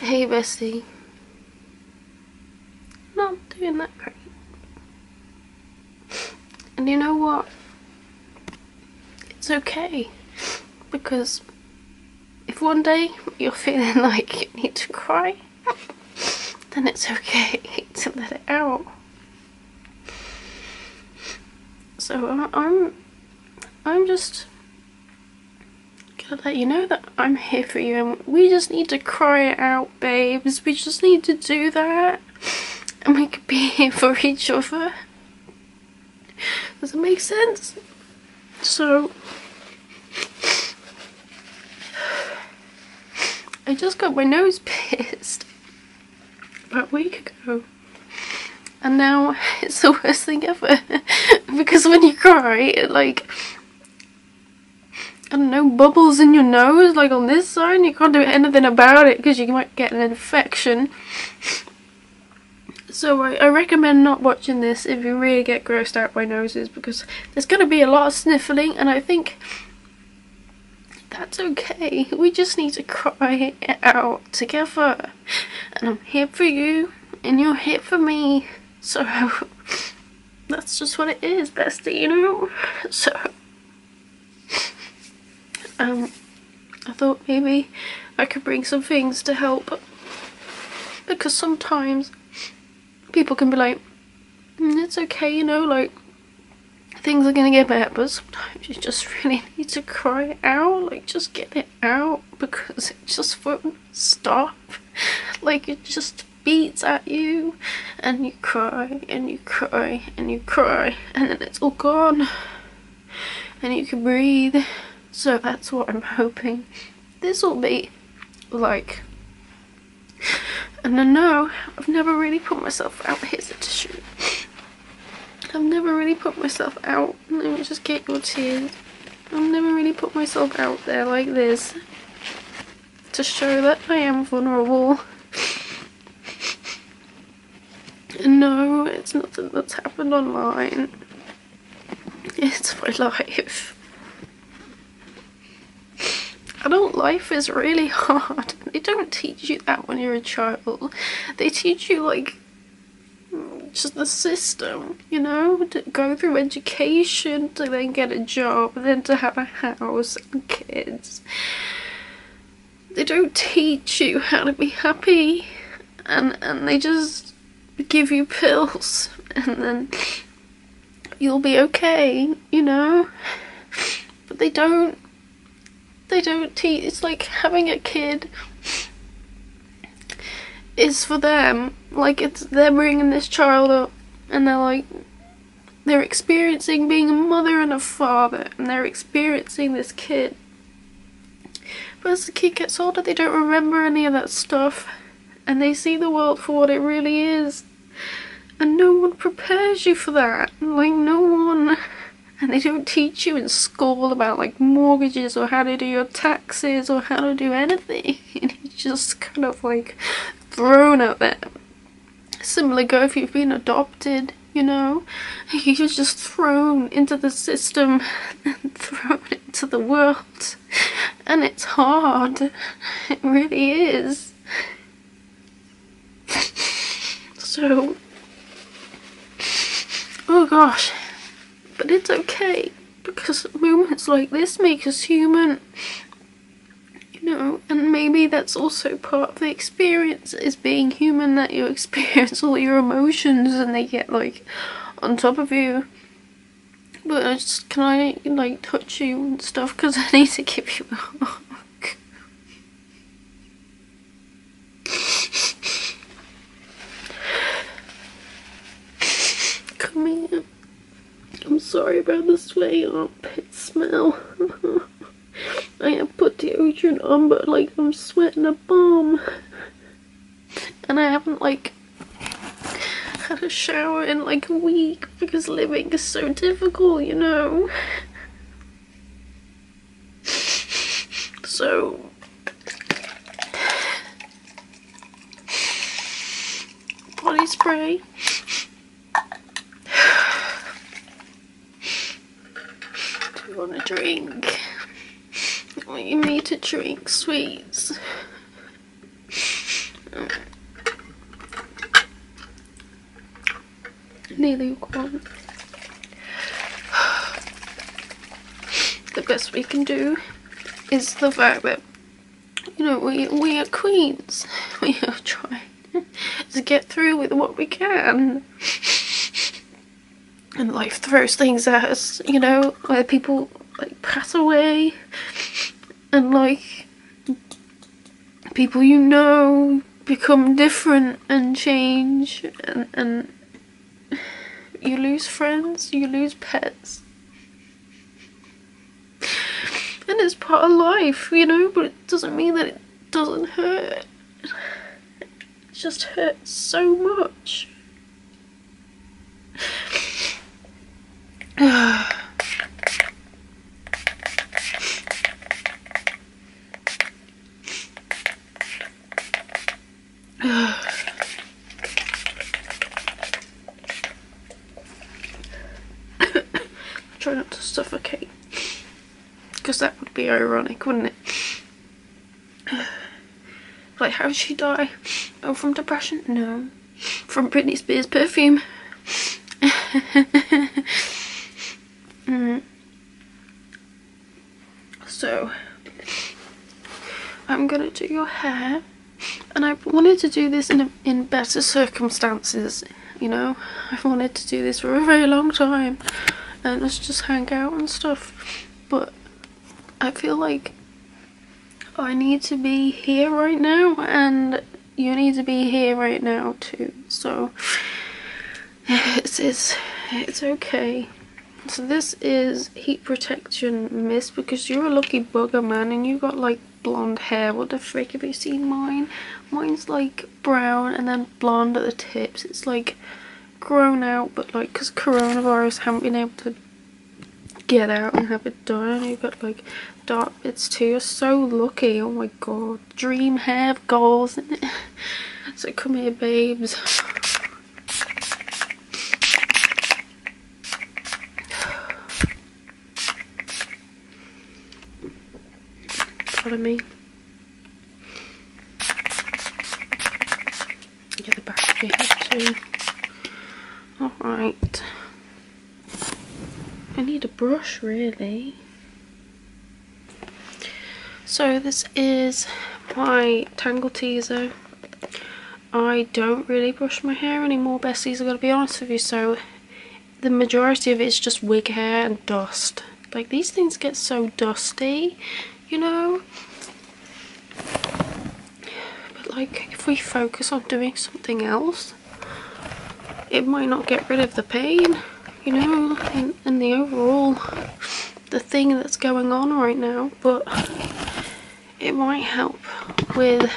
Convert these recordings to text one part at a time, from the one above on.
Hey bestie. Not doing that great. And you know what? It's okay. Because if one day you're feeling like you need to cry, then it's okay to let it out. So I'm I'm, I'm just going to let you know that I'm here for you and we just need to cry it out, babes. We just need to do that. And we can be here for each other. Does it make sense? So... I just got my nose pierced about a week ago. And now it's the worst thing ever. because when you cry, it like, I don't know, bubbles in your nose, like on this side, you can't do anything about it because you might get an infection. So I, I, recommend not watching this if you really get grossed out by noses because there's going to be a lot of sniffling and I think that's okay. We just need to cry it out together. And I'm here for you and you're here for me. So that's just what it is, bestie, you know? So um I thought maybe I could bring some things to help because sometimes people can be like mm, it's okay, you know, like things are gonna get better, but sometimes you just really need to cry out, like just get it out because just won't stop. Like it just beats at you and you cry and you cry and you cry and then it's all gone and you can breathe. So that's what I'm hoping this will be like. And I know I've never really put myself out. Here's a tissue. I've never really put myself out let me just get your tears. I've never really put myself out there like this to show that I am vulnerable. no, it's nothing that's happened online. It's my life. Adult life is really hard. They don't teach you that when you're a child. They teach you like just the system, you know, to go through education, to then get a job, then to have a house and kids. They don't teach you how to be happy, and and they just give you pills, and then you'll be okay, you know. But they don't. They don't teach. It's like having a kid is for them. Like, it's they're bringing this child up, and they're like, they're experiencing being a mother and a father, and they're experiencing this kid. But as the kid gets older, they don't remember any of that stuff, and they see the world for what it really is. And no one prepares you for that. Like, no one. And they don't teach you in school about, like, mortgages or how to do your taxes or how to do anything. And he's just kind of like thrown out there. Similarly go if you've been adopted, you know, you're just thrown into the system and thrown into the world. And it's hard. It really is. so, oh gosh, but it's okay because moments like this make us human. You know, and maybe that's also part of the experience is being human that you experience all your emotions and they get like on top of you. But I just, can I like touch you and stuff because I need to keep you a Come here. I'm sorry about the sweat sweaty armpit smell. I have put the ocean on, but like I'm sweating a bomb. And I haven't like had a shower in like a week because living is so difficult, you know. So body spray. Do you want a drink? I want you need to drink sweets. Oh. Nearly one. the best we can do is the fact that you know we we are queens. We are trying to get through with what we can. And life throws things at us, you know, where people like pass away and like people you know become different and change and and you lose friends, you lose pets. And it's part of life, you know, but it doesn't mean that it doesn't hurt. It just hurts so much. Try not to suffocate. Because that would be ironic, wouldn't it? like, how did she die? Oh, from depression? No. From Britney Spears perfume. Mm. So I'm going to do your hair and I wanted to do this in, in better circumstances, you know. I've wanted to do this for a very long time and let's just hang out and stuff. But I feel like I need to be here right now and you need to be here right now too. So it's, it's, it's okay. So this is Heat Protection Mist because you're a lucky bugger man and you got like blonde hair. What the frick have you seen mine? Mine's like brown and then blonde at the tips. It's like grown out but like because coronavirus haven't been able to get out and have it done. You've got like dark bits too. You're so lucky. Oh my god. Dream hair goals, isn't it? So come here babes. Pardon me. Get the back of your head Alright. I need a brush really. So this is my Tangle Teaser. I don't really brush my hair anymore, Bessie. i got to be honest with you, so the majority of it is just wig hair and dust. Like, these things get so dusty, you know? But, like, if we focus on doing something else, it might not get rid of the pain, you know, and the overall the thing that's going on right now but it might help with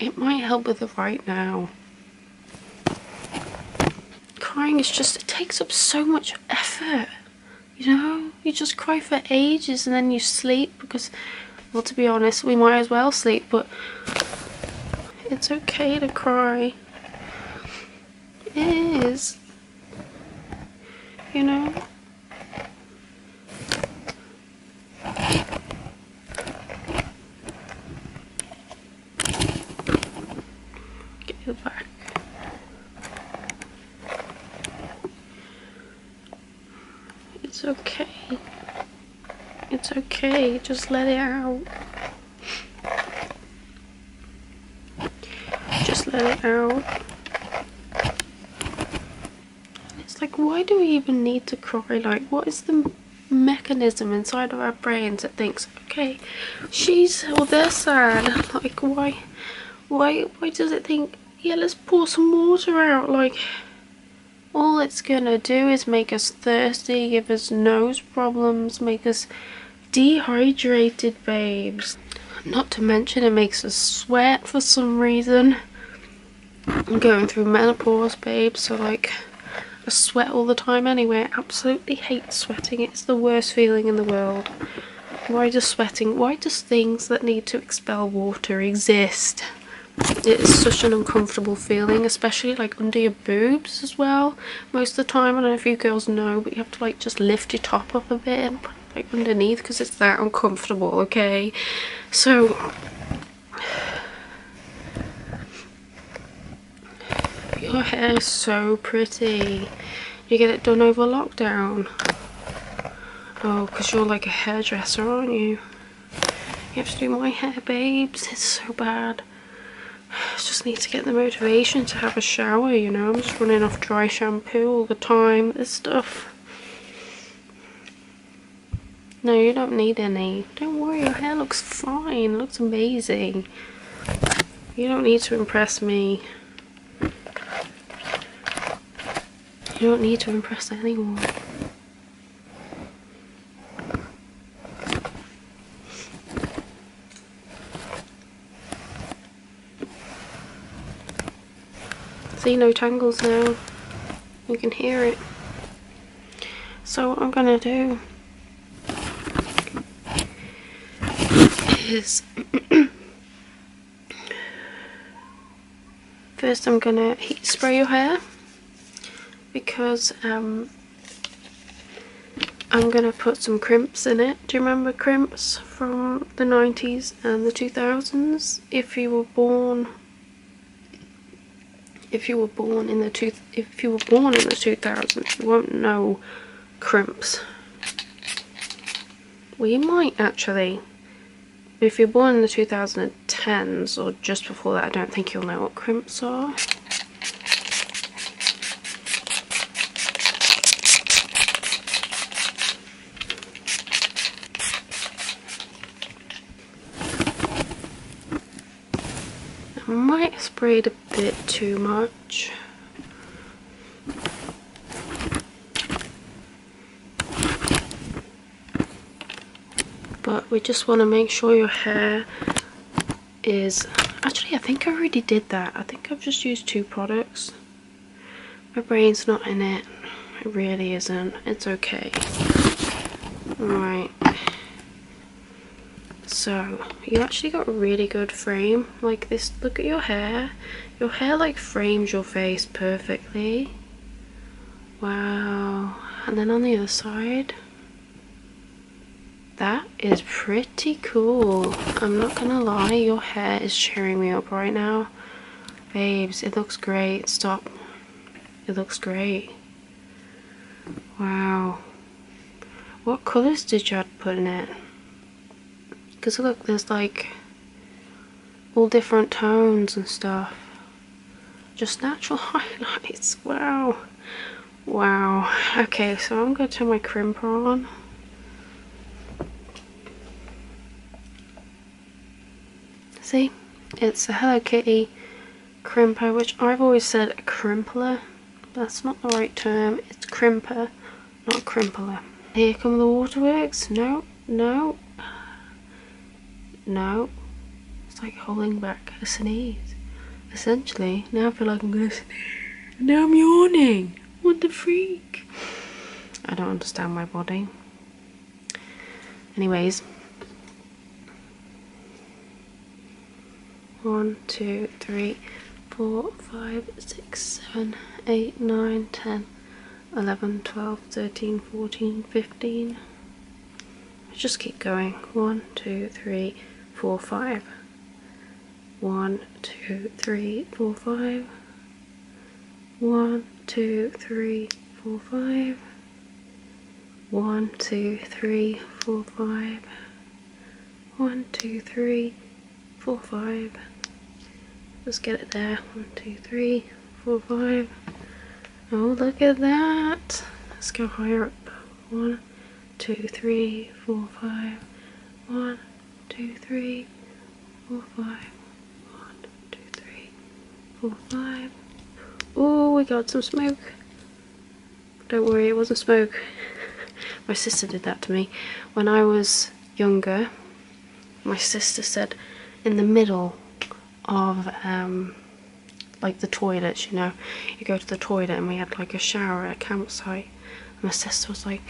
it might help with it right now crying is just it takes up so much effort you know you just cry for ages and then you sleep because well to be honest we might as well sleep but it's okay to cry it is you know Get back. It's okay. It's okay, just let it out. Just let it out. It's like, why do we even need to cry? Like, what is the mechanism inside of our brains that thinks, okay, she's or they're sad. Like, why, why, why does it think, yeah, let's pour some water out? Like, all it's gonna do is make us thirsty, give us nose problems, make us dehydrated babes. Not to mention it makes us sweat for some reason. I'm going through menopause, babe, so like I sweat all the time anyway. I absolutely hate sweating. It's the worst feeling in the world. Why does sweating, why does things that need to expel water exist? It is such an uncomfortable feeling, especially like under your boobs as well. Most of the time, I don't know if you girls know, but you have to like just lift your top up a bit and like underneath because it's that uncomfortable okay so your hair is so pretty you get it done over lockdown oh because you're like a hairdresser aren't you you have to do my hair babes it's so bad I just need to get the motivation to have a shower you know I'm just running off dry shampoo shampoo all the time, this stuff. No, you don't need any. Don't worry, your hair looks fine. looks amazing. You don't need to impress me. You don't need to impress anyone. See no tangles now. You can hear it. So what I'm gonna do is first I'm gonna heat spray your hair because um, I'm gonna put some crimps in it. Do you remember crimps from the 90s and the 2000s. If you were born if you were born in the two if you were born in the 2000s, you won't know crimps. We might actually. If you're born in the 2010s or just before that, I don't think you'll know what crimps are. I might have sprayed a bit too much. But we just want to make sure your hair is... Actually, I think I already did that. I think I've just used two products. My brain's not in it. It really isn't. It's okay. Alright. So, you actually got really good frame. Like this, look at your hair. Your hair like frames your face perfectly. Wow. And then on the other side. That is pretty cool. I'm not gonna lie, your hair is cheering me right now. Babes, it looks great. Stop. It looks great. Wow. What colours did Jad put in it? Because look, there's like all different tones and stuff. Just natural highlights. Wow. Wow. Okay, so I'm going to turn my crimper on. See? It's a Hello Kitty crimper, which I've always said a crimpler. That's not the right term. It's crimper, not crimpler. Here come the waterworks. No, no, no. It's like holding back a sneeze. Essentially, now I feel like I'm going to sneeze. Now I'm yawning. What the freak? I don't understand my body. Anyways, one, two, three, four, five, six, seven, eight, nine, ten, eleven, twelve, thirteen, fourteen, fifteen. just keep going. One, two, three, four, five. One, two, three, four, five. One, two, three, four, five. One, two, three, four, five. One, two, three, four, five. Let's get it there. One, two, three, four, five. Oh, look at that. Let's go higher up. One, two, three, four, five. One, two, three, four, five. One, two, three, four, five. Oh, we got some smoke. Don't worry, it wasn't smoke. my sister did that to me. When I was younger, my sister said in the middle of um, like the toilets, you know, you go to the toilet and we had like a shower at a campsite my sister was like,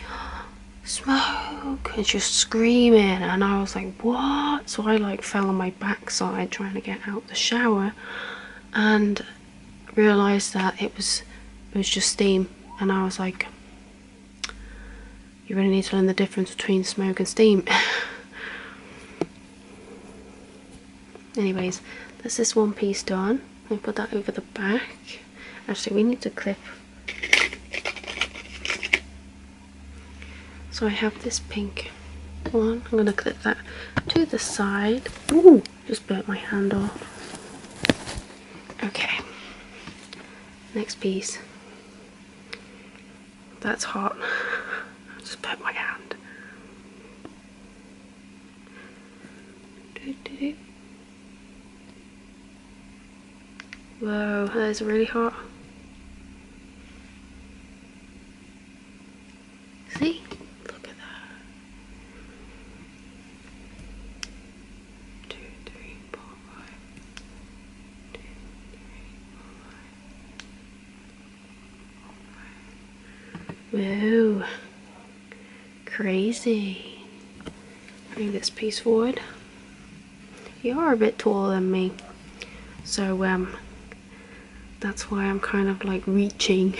smoke, and she was screaming, and I was like, what? So I like fell on my backside trying to get out the shower, and realised that it was, it was just steam, and I was like, you really need to learn the difference between smoke and steam. Anyways, that's this one piece done. I put that over the back. Actually, we need to clip. So I have this pink one. I'm going to clip that to the side. Ooh, just burnt my hand off. Okay. Next piece. That's hot. I just burnt my hand. Do, do, do. Whoa, that is really hot. See? Look at that. Two, three, four, five. Two, three, four, five. Whoa. Crazy bring this piece forward you are a bit taller than me so um that's why I'm kind of like reaching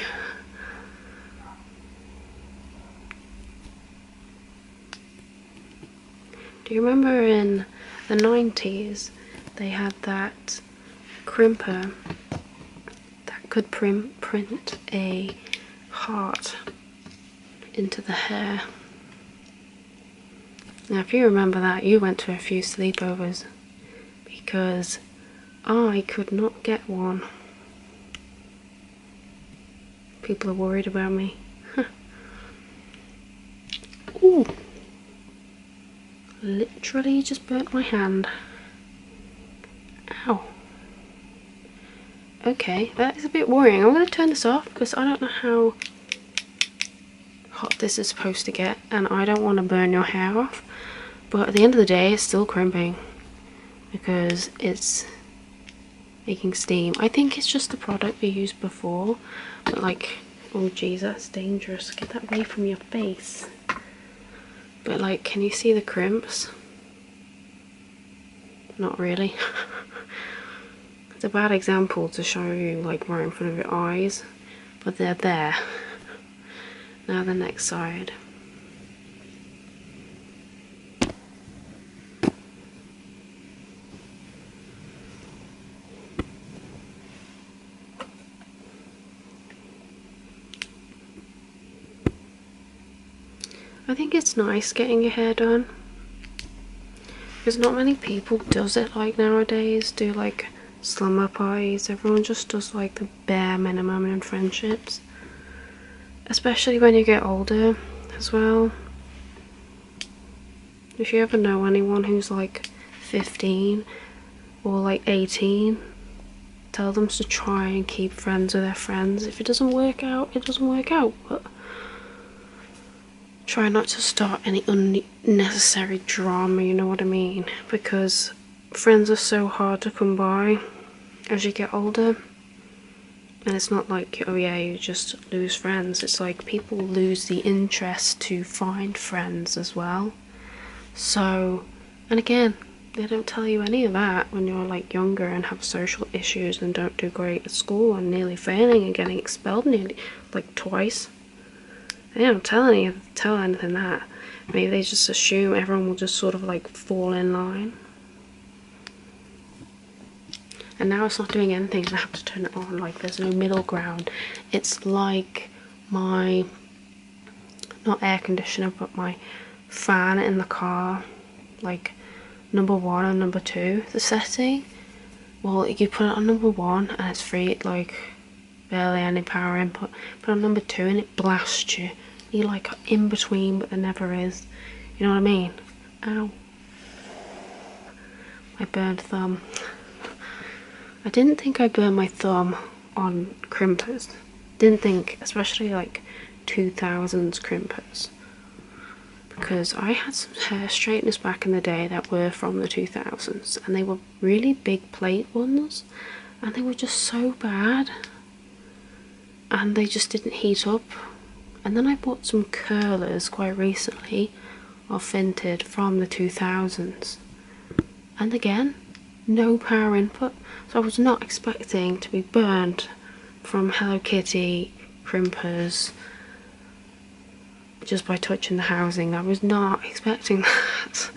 do you remember in the 90s they had that crimper that could print a heart into the hair. Now, if you remember that, you went to a few sleepovers because I could not get one. People are worried about me. Oh! Literally just burnt my hand. Ow. Okay, that is a bit worrying. I'm going to turn this off because I don't know how hot this is supposed to get and I don't want to burn your hair off. But at the end of the day, it's still crimping because it's making steam. I think it's just the product we used before. But like, oh Jesus, dangerous. Get that away from your face. But like, can you see the crimps? not really. it's a bad example to show you like right in front of your eyes, but they're there. now the next side. I think it's nice getting your hair done because not many people does it like nowadays do like slumber parties everyone just does like the bare minimum in friendships especially when you get older as well if you ever know anyone who's like 15 or like 18 tell them to try and keep friends with their friends if it doesn't work out it doesn't work out but try not to start any unnecessary drama, you know what I mean? Because friends are so hard to come by as you get older. And it's not like, oh yeah, you just lose friends. It's like people lose the interest to find friends as well. So, and again, they don't tell you any of that when you're like younger and have social issues and don't don't great at school. I'm nearly failing and getting expelled nearly, like twice. They don't tell any tell anything that. Maybe they just assume everyone will just sort of like fall in line. And now it's not doing anything I have to turn it on. Like there's no middle ground. It's like my not air conditioner but my fan in the car. Like number one and number two, the setting. Well, you put it on number one and it's free, like barely any power input. Put on number two and it blasts you. You like in between, but there never is. You know what I mean? Ow. I burned thumb. I didn't think I burned my thumb on crimpers. Didn't think, especially like two thousand crimpers because I had some hair straighteners back in the day that were from the 2000s and they were really big plate ones and they were just so bad and they just didn't heat up. And then I bought some curlers quite recently of Vinted from the 2000s and again no power input so I was not expecting to be burned from Hello Kitty crimpers just by touching the housing. I was not expecting that.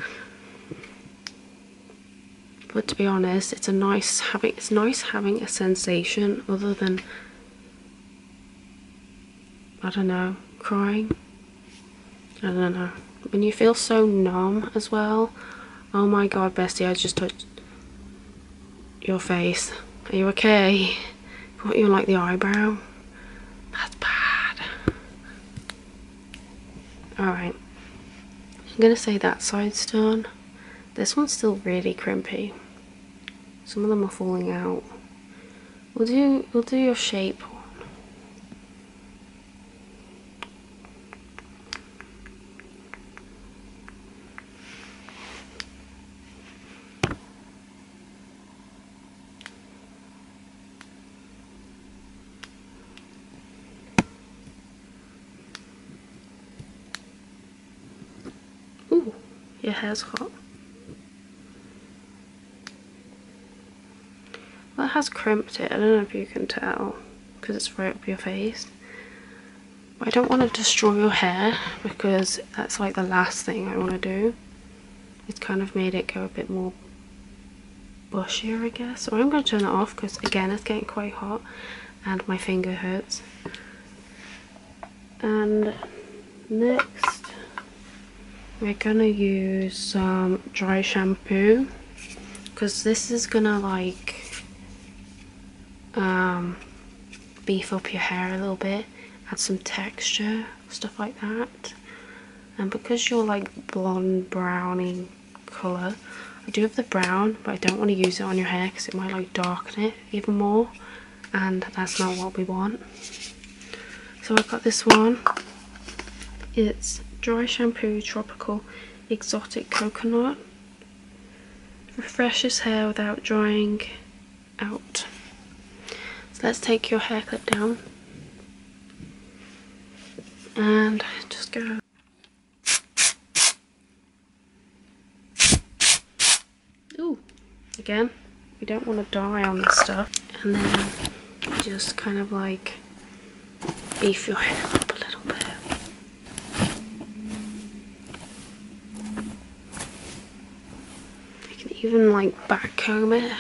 but to be honest, it's a nice having it's nice having a sensation other than I don't know, crying. I don't know. When you feel so numb as well. Oh my god, bestie, I just touched your face. Are you okay? What you like the eyebrow. That's bad. Alright. I'm going to say that side's done. This one's still really crimpy. Some of them are falling out. We'll do, we'll do your shape Ooh, your hair's hot. That has crimped it. I don't know if you can tell because it's right up your face. I don't want to destroy your hair because that's like the last thing I want to do. It's kind of made it go a bit more bushier, I guess. So I'm going to turn it off because, again, it's getting quite hot and my finger hurts. And next, we're going to use some dry shampoo because this is going to, like, um, beef up your hair a little bit, add some texture, stuff like that. And because you're like blonde, browning colour, I do have the brown, but I don't want to use it on your hair because it might like darken it even more. And that's not what we want. So I've got this one. It's Dry Shampoo Tropical Exotic Coconut refreshes hair without drying out. So let's take your hair clip down and just go Ooh, again, we don't want to die on this stuff. And then just kind of like beef your hair up a little bit. I can even like backcomb it.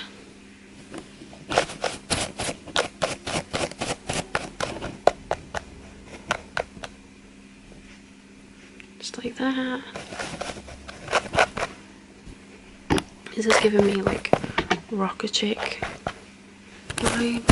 Just like that. This is giving me like rocker chick vibes.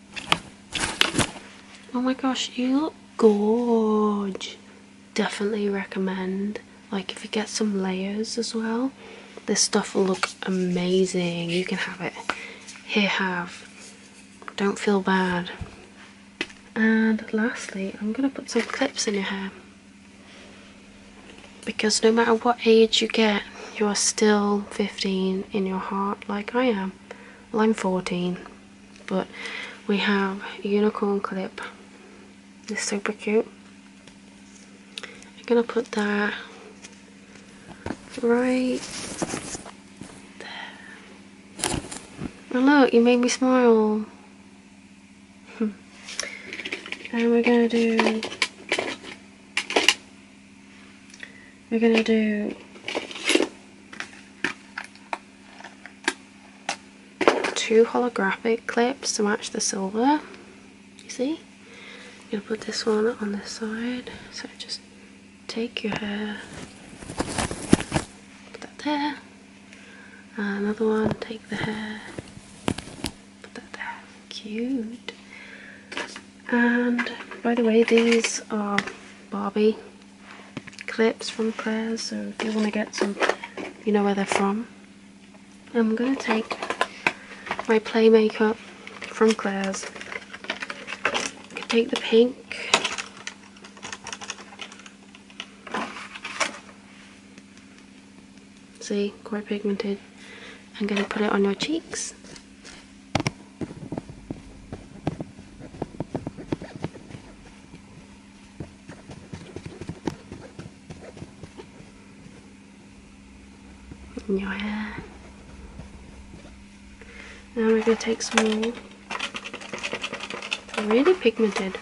Oh my gosh, you look gorge. Definitely recommend. Like if you get some layers as well, this stuff will look amazing. You can have it. Here have. Don't feel bad. And lastly, I'm gonna put some clips in your hair. Because no matter what age you get, you are still 15 in your heart like I am now line 14 but we have unicorn clip it's super cute I'm gonna put that right there look you made me smile and we're gonna do we're going to do two holographic clips to match the silver. You see? I'm going to put this one on this side. So just take your hair, put that there. another one, take the hair, put that there. Cute and by the way these are Barbie clips from Claire's so if you want to get some you know where they're from I'm going to take my play makeup from Claire's take the pink see quite pigmented I'm going to put it on your cheeks your hair. Now we're going to take some really pigmented.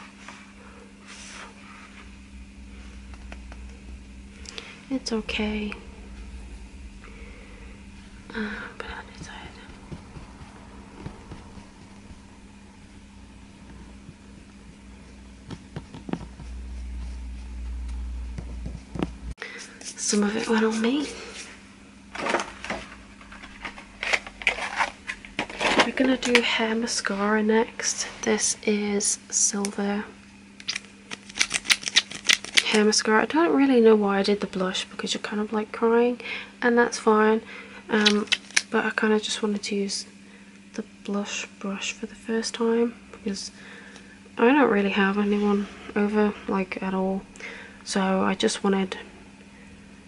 It's okay. Uh, on his side. Some of it went on me. We're gonna do hair mascara next. This is Silver hair I don't really know why I did the blush because you're kind of like crying and that's fine. Um, but I kind of just wanted to use the blush brush for the first time because I don't really have anyone over like at all. So I just wanted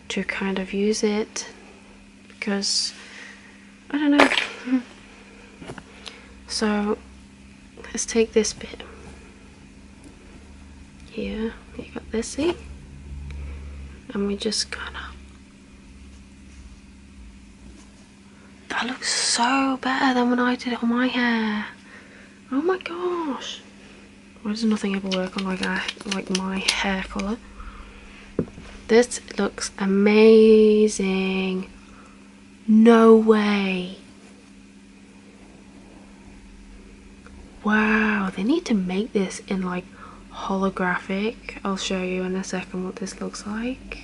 to kind of use it because I don't know. so let's take this bit here you got this see and we just kinda that looks so better than when I did it on my hair oh my gosh why does nothing ever work on like I, like my hair colour this looks amazing no way Wow, they need to make this in like holographic. I'll show you in a second what this looks like.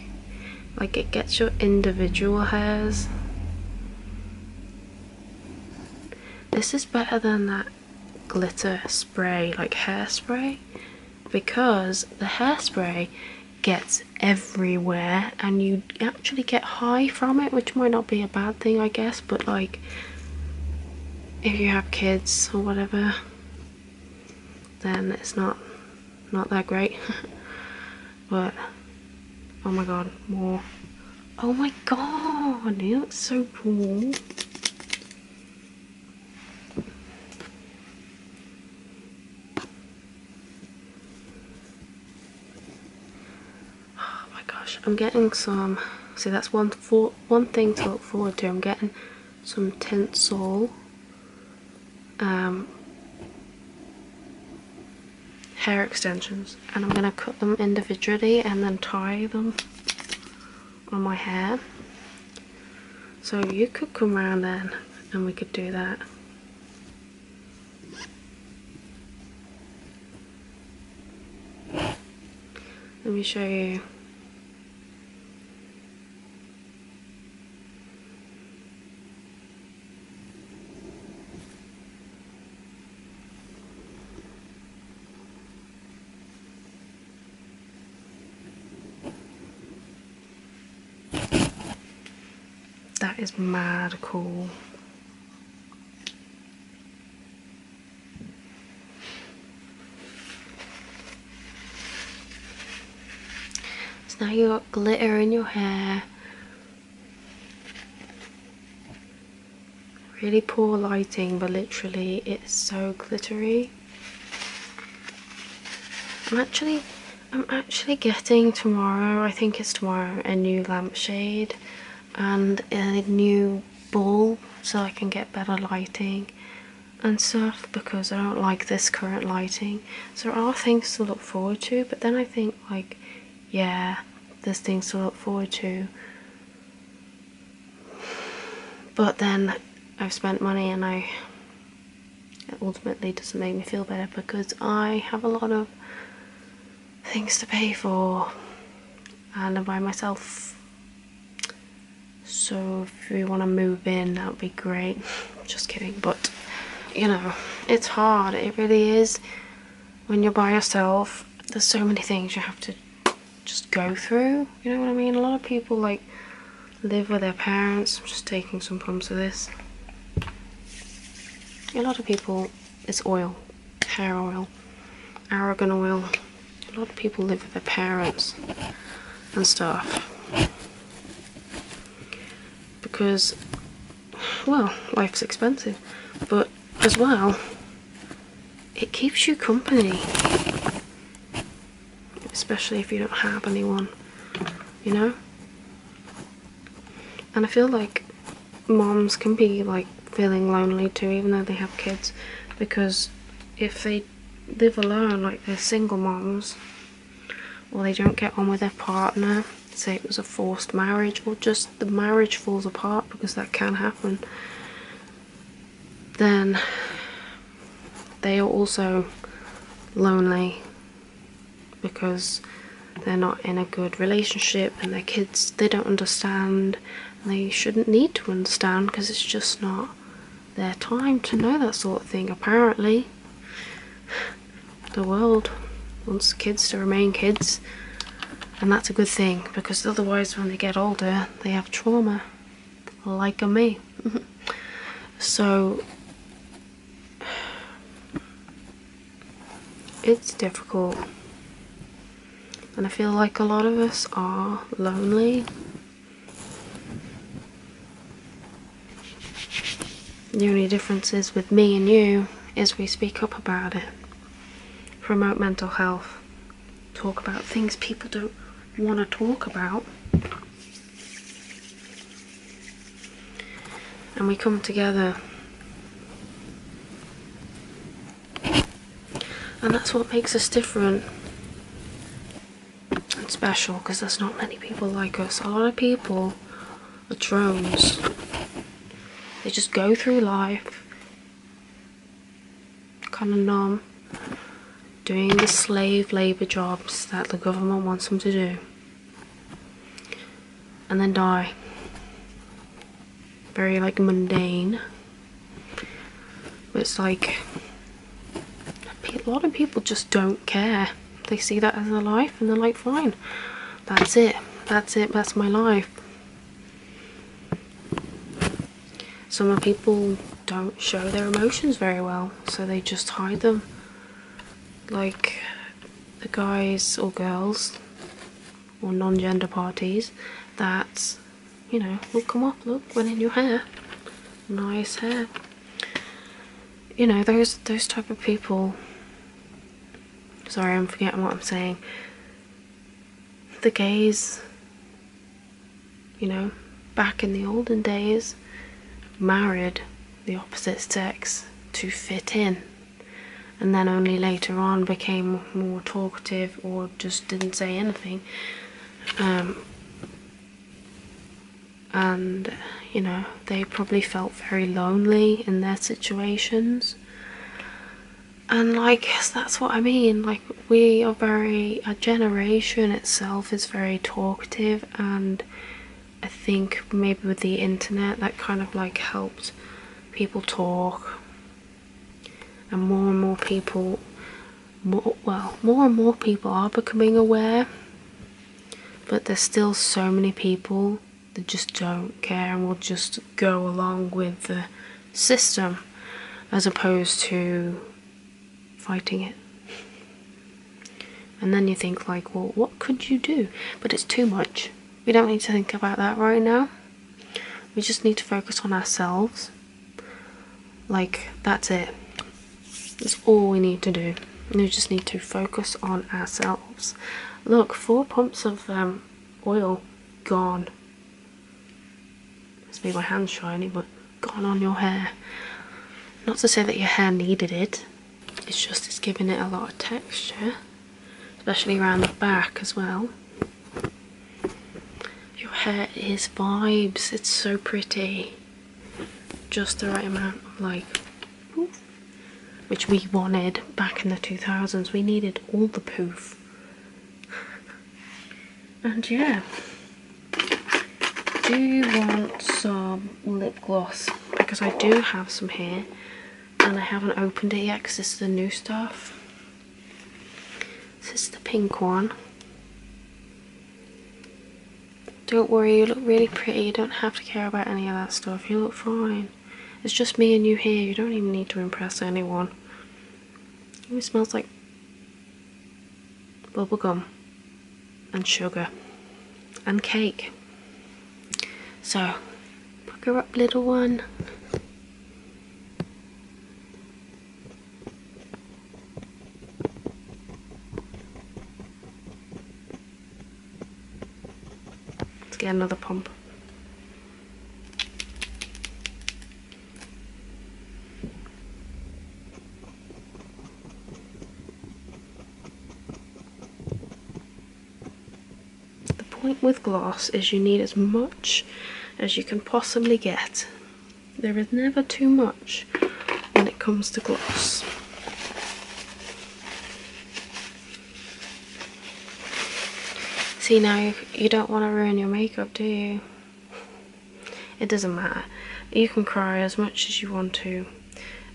Like it gets your individual hairs. This is better than that glitter spray, like hairspray, because the hairspray gets everywhere and you actually get high from it which might not be a bad thing i guess but like if you have kids or whatever then it's not not that great but oh my god more oh my god it looks so cool Oh my gosh, I'm getting some, see that's one, for, one thing to look forward to, I'm getting some tinsel, um, hair extensions and I'm going to cut them individually and then tie them on my hair. So you could come round then and we could do that. Let me show you. That is mad cool. So now you got glitter in your hair. Really poor lighting, but literally it's so glittery. I'm actually, I'm actually getting tomorrow, I think it's tomorrow, a new lampshade and a new bulb so I can get better lighting and stuff because I don't like this current lighting. So there are things to look forward to, but then I think like, yeah, there's things to look forward to. But then I've spent money and I ultimately doesn't make me feel better because I have a lot of things to pay for and I'm by myself so if we want to move in that would be great just kidding but you know it's hard it really is when you're by yourself there's so many things you have to just go through you know what I mean a lot of people like live with their parents I'm just taking some pumps of this a lot of people it's oil, hair oil, argan oil. A lot of people live with their parents and stuff because, well, life's expensive, but as well, it keeps you company, especially if you don't have anyone, you know? And I feel like moms can be like feeling lonely too, even though they have kids, because if they live alone, like they're single moms, or they don't get on with their partner, say it was a forced marriage, or just the marriage falls apart because that can happen, then they are also lonely because they're not in a good relationship and their kids they don't understand they shouldn't need to understand because it's just not their time to know that sort of thing apparently the world wants kids to remain kids and that's a good thing because otherwise when they get older they have trauma like a me so it's difficult and I feel like a lot of us are lonely. The only difference is with me and you is we speak up about it, promote mental health, talk about things people don't want to talk about and we come together. And that's what makes us different and special because there's not many people like us. A lot of people are drones. They just go through life kind of numb doing the slave labour jobs that the government wants them to do and then die. Very like mundane. But it's like a lot of people just don't care. They see that as their life and they're like, fine, that's it, that's it, that's my life. Some people don't show their emotions very well, so they just hide them. Like, the guys or girls or non-gender parties that you know will come up look when in your hair nice hair you know those those type of people sorry i'm forgetting what i'm saying the gays you know back in the olden days married the opposite sex to fit in and then only later on became more talkative or just didn't say anything. Um, and you know, they probably felt very lonely in their situations. And like that's what I mean. Like we are very our generation itself is very talkative and I think maybe with the internet that kind of like helped people talk and more and more people more, well more and more people are becoming aware but there's still so many people that just don't care and will just go along with the system as opposed to fighting it and then you think like well what could you do but it's too much we don't need to think about that right now. We just need to focus on ourselves. Like, that's it. That's all we need to do. We just need to focus on ourselves. Look, four pumps of um, oil gone. Must be my hands shiny, but gone on your hair. Not to say that your hair needed it, it's just it's giving it a lot of texture especially around the back as well your hair is vibes it's so pretty just the right amount of like which we wanted back in the 2000s we needed all the poof and yeah do you want some lip gloss because I do have some here and I haven't opened it yet because this is the new stuff. This is the pink one. Don't worry, you look really pretty. You don't have to care about any of that stuff. You look fine. It's just me and you here. You don't even need to impress anyone. It smells like bubblegum and sugar and cake. So, her up little one. Let's get another pump. The point with glass is you need as much as you can possibly get. There is never too much when it comes to glass. See now, you don't want to ruin your makeup, do you? It doesn't matter. You can cry as much as you want to.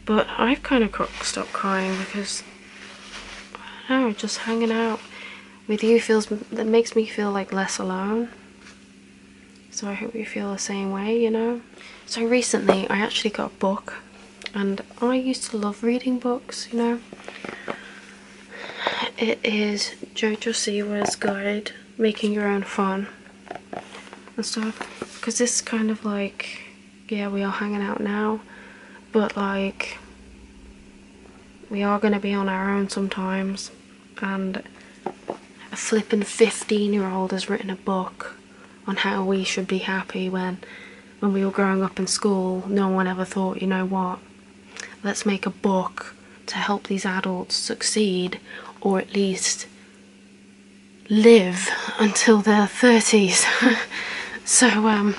But I've kind of stopped crying because, I know, just hanging out with you feels, that makes me feel like less alone. So I hope you feel the same way, you know? So recently I actually got a book and I used to love reading books, you know? It is Jojo Siwa's guide, Making Your Own Fun and stuff. Because this kind of like yeah, we are hanging out now, but like, we are going to be on our own sometimes. And a flipping 15 year old has written a book on how we should be happy when when we were growing up in school no one ever thought you know what let's make a book to help these adults succeed or at least live until their 30s So um,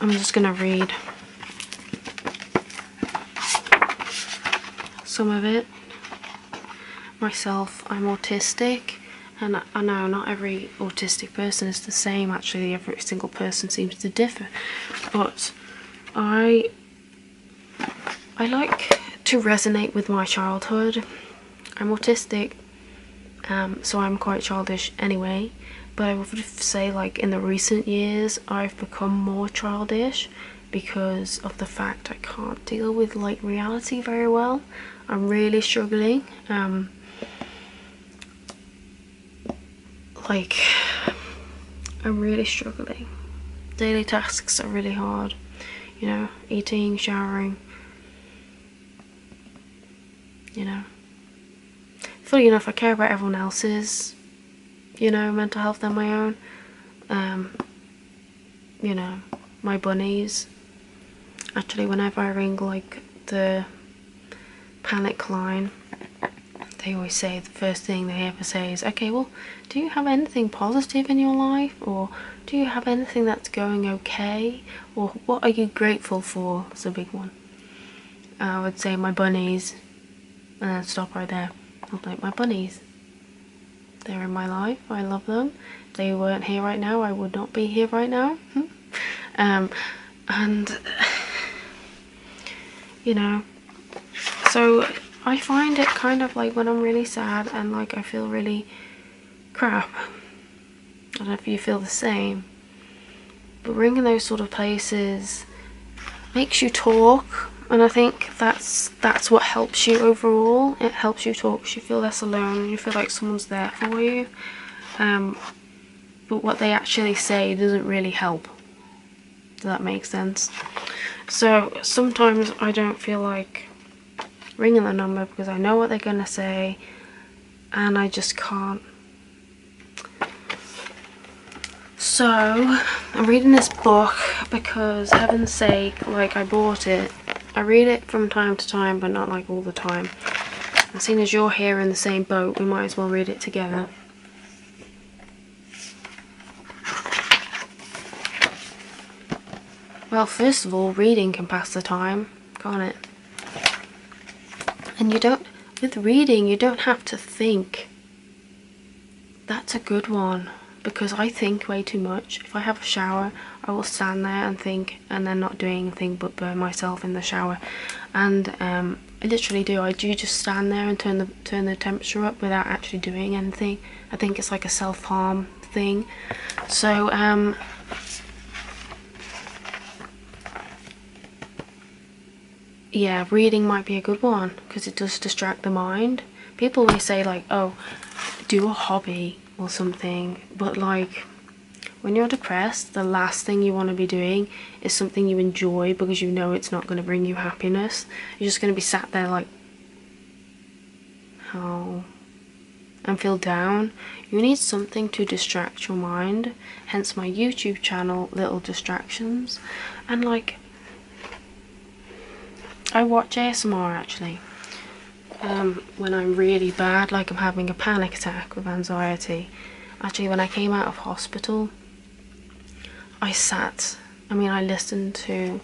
I'm just going to read some of it myself. I'm autistic and I know not every autistic person is the same actually every single person seems to differ but I I like to resonate with my childhood I'm autistic um, so I'm quite childish anyway. But I would say, like, in the recent years, I've become more childish because of the fact I can't deal with, like, reality very well. I'm really struggling. Um, like, I'm really struggling. Daily tasks are really hard, you know, eating, showering, you know? Funny enough, I care about everyone else's, you know, mental health than my own. Um, you know, my bunnies. Actually, whenever I ring, like, the panic line, they always say the first thing they ever say is, okay, well, do you have anything positive in your life? Or do you have anything that's going okay? or what are you grateful for? It's a big one. Uh, I would say my bunnies, and then stop right there. I'm like, my bunnies. They're in my life. I love them. they weren't here right now, I would not be here right now. Hmm. Um, and, you know, so I find it kind of like when I'm really sad and like I feel really crap, I don't know if you feel the same. But being in those sort of places makes you talk and I think that's that's what helps you overall it helps you talk because you feel less alone you feel like someone's there for you um, but what they actually say doesn't really help does that make sense so sometimes I don't feel like ringing the number because I know what they're going to say and I just can't. So I'm reading this book because heaven's sake, like I bought it. I read it from time to time but not like all the time. And seeing as you're here in the same boat, we might as well read it together. Well, first of all, reading can pass the time. Got it. And you don't, with reading, you don't have to think. That's a good one because I think way too much. If I have a shower, I will stand there and think and then not doing anything but burn myself in the shower. And um, I literally do. I do just stand there and turn the turn the temperature up without actually doing anything. I think it's like a self-harm thing. So, um, yeah, reading might be a good one because it does distract the mind. People always say like, oh, do a hobby or something, but like when you're depressed, the last thing you want to be doing is something you enjoy because you know it's not going to bring you happiness. You're just going to be sat there like how and feel down, you need something to distract your mind, hence my YouTube channel, Little Distractions. And like, I watch ASMR actually. Um, when I'm really bad, like I'm having a panic attack with anxiety. Actually, when I came out of hospital, I sat, I mean, I listened to,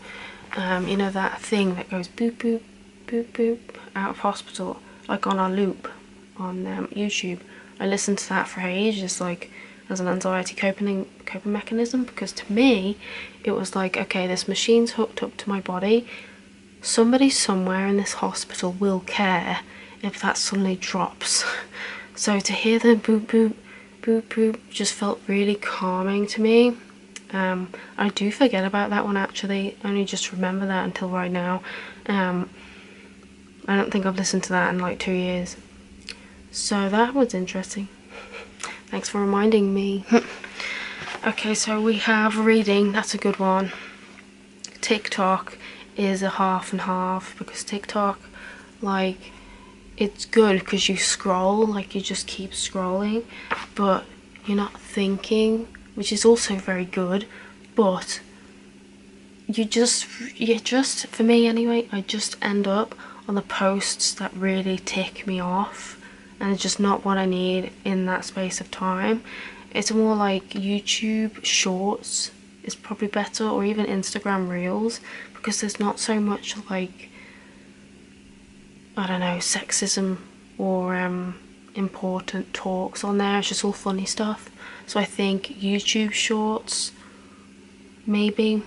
um, you know, that thing that goes boo boo boop boop out of hospital, like on our loop on um, YouTube. I listened to that for ages, like as an anxiety coping coping mechanism, because to me, it was like, okay, this machine's hooked up to my body. Somebody somewhere in this hospital will care if that suddenly drops. so to hear the boop boop boop boop just felt really calming to me. Um, I do forget about that one actually only just remember that until right now um, I don't think I've listened to that in like two years so that was interesting thanks for reminding me okay so we have reading that's a good one TikTok is a half and half because TikTok like it's good because you scroll like you just keep scrolling but you're not thinking, which is also very good, but you just, yeah, just, for me anyway, I just end up on the posts that really tick me off and it's just not what I need in that space of time. It's more like YouTube shorts is probably better or even Instagram reels because there's not so much like, I don't know, sexism or um, important talks on there. It's just all funny stuff. So I think YouTube shorts, maybe,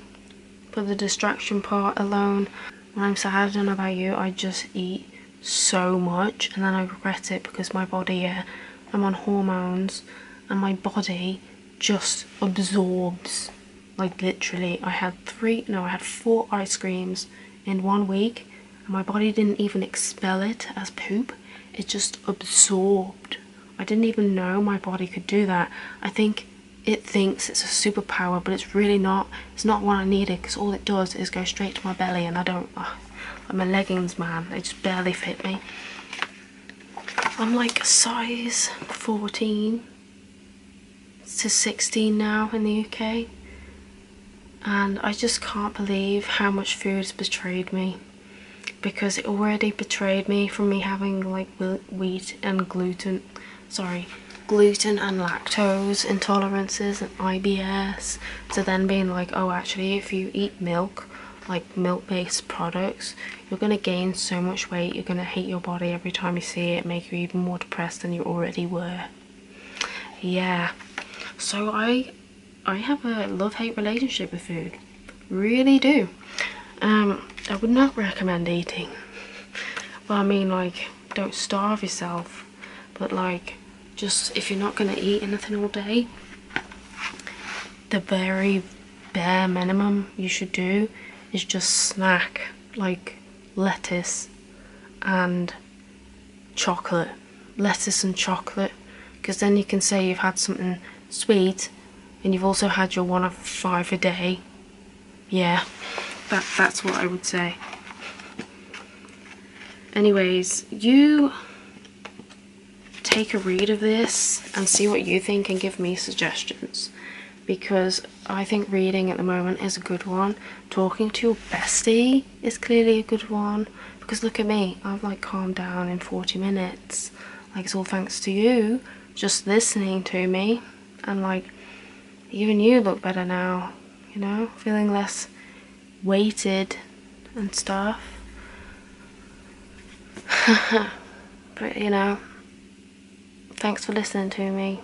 for the distraction part alone. When I'm sad, I don't know about you, I just eat so much and then I regret it because my body, yeah, I'm on hormones and my body just absorbs. Like literally, I had three, no, I had four ice creams in one week my body didn't even expel it as poop, it just absorbed. I didn't even know my body could do that. I think it thinks it's a superpower, but it's really not. It's not what I needed because all it does is go straight to my belly, and I don't. Uh, like my leggings, man, they just barely fit me. I'm like size 14 to 16 now in the UK and I just can't believe how much food has betrayed me because it already betrayed me from me having like wheat and gluten sorry gluten and lactose intolerances and IBS to then being like oh actually if you eat milk like milk-based products you're going to gain so much weight you're going to hate your body every time you see it make you even more depressed than you already were yeah so i i have a love-hate relationship with food really do um i would not recommend eating but i mean like don't starve yourself but like just if you're not going to eat anything all day the very bare minimum you should do is just snack like lettuce and chocolate, lettuce and chocolate, because then you can say you've had something sweet and you've also had your one of five a day. Yeah, that, that's what I would say. Anyways, you take a read of this and see what you think and give me suggestions because I think reading at the moment is a good one. Talking to your bestie it's clearly a good one because look at me, I've like calmed down in 40 minutes. Like it's all thanks to you just listening to me and like even you look better now, you know, feeling less weighted and stuff. but you know, thanks for listening to me.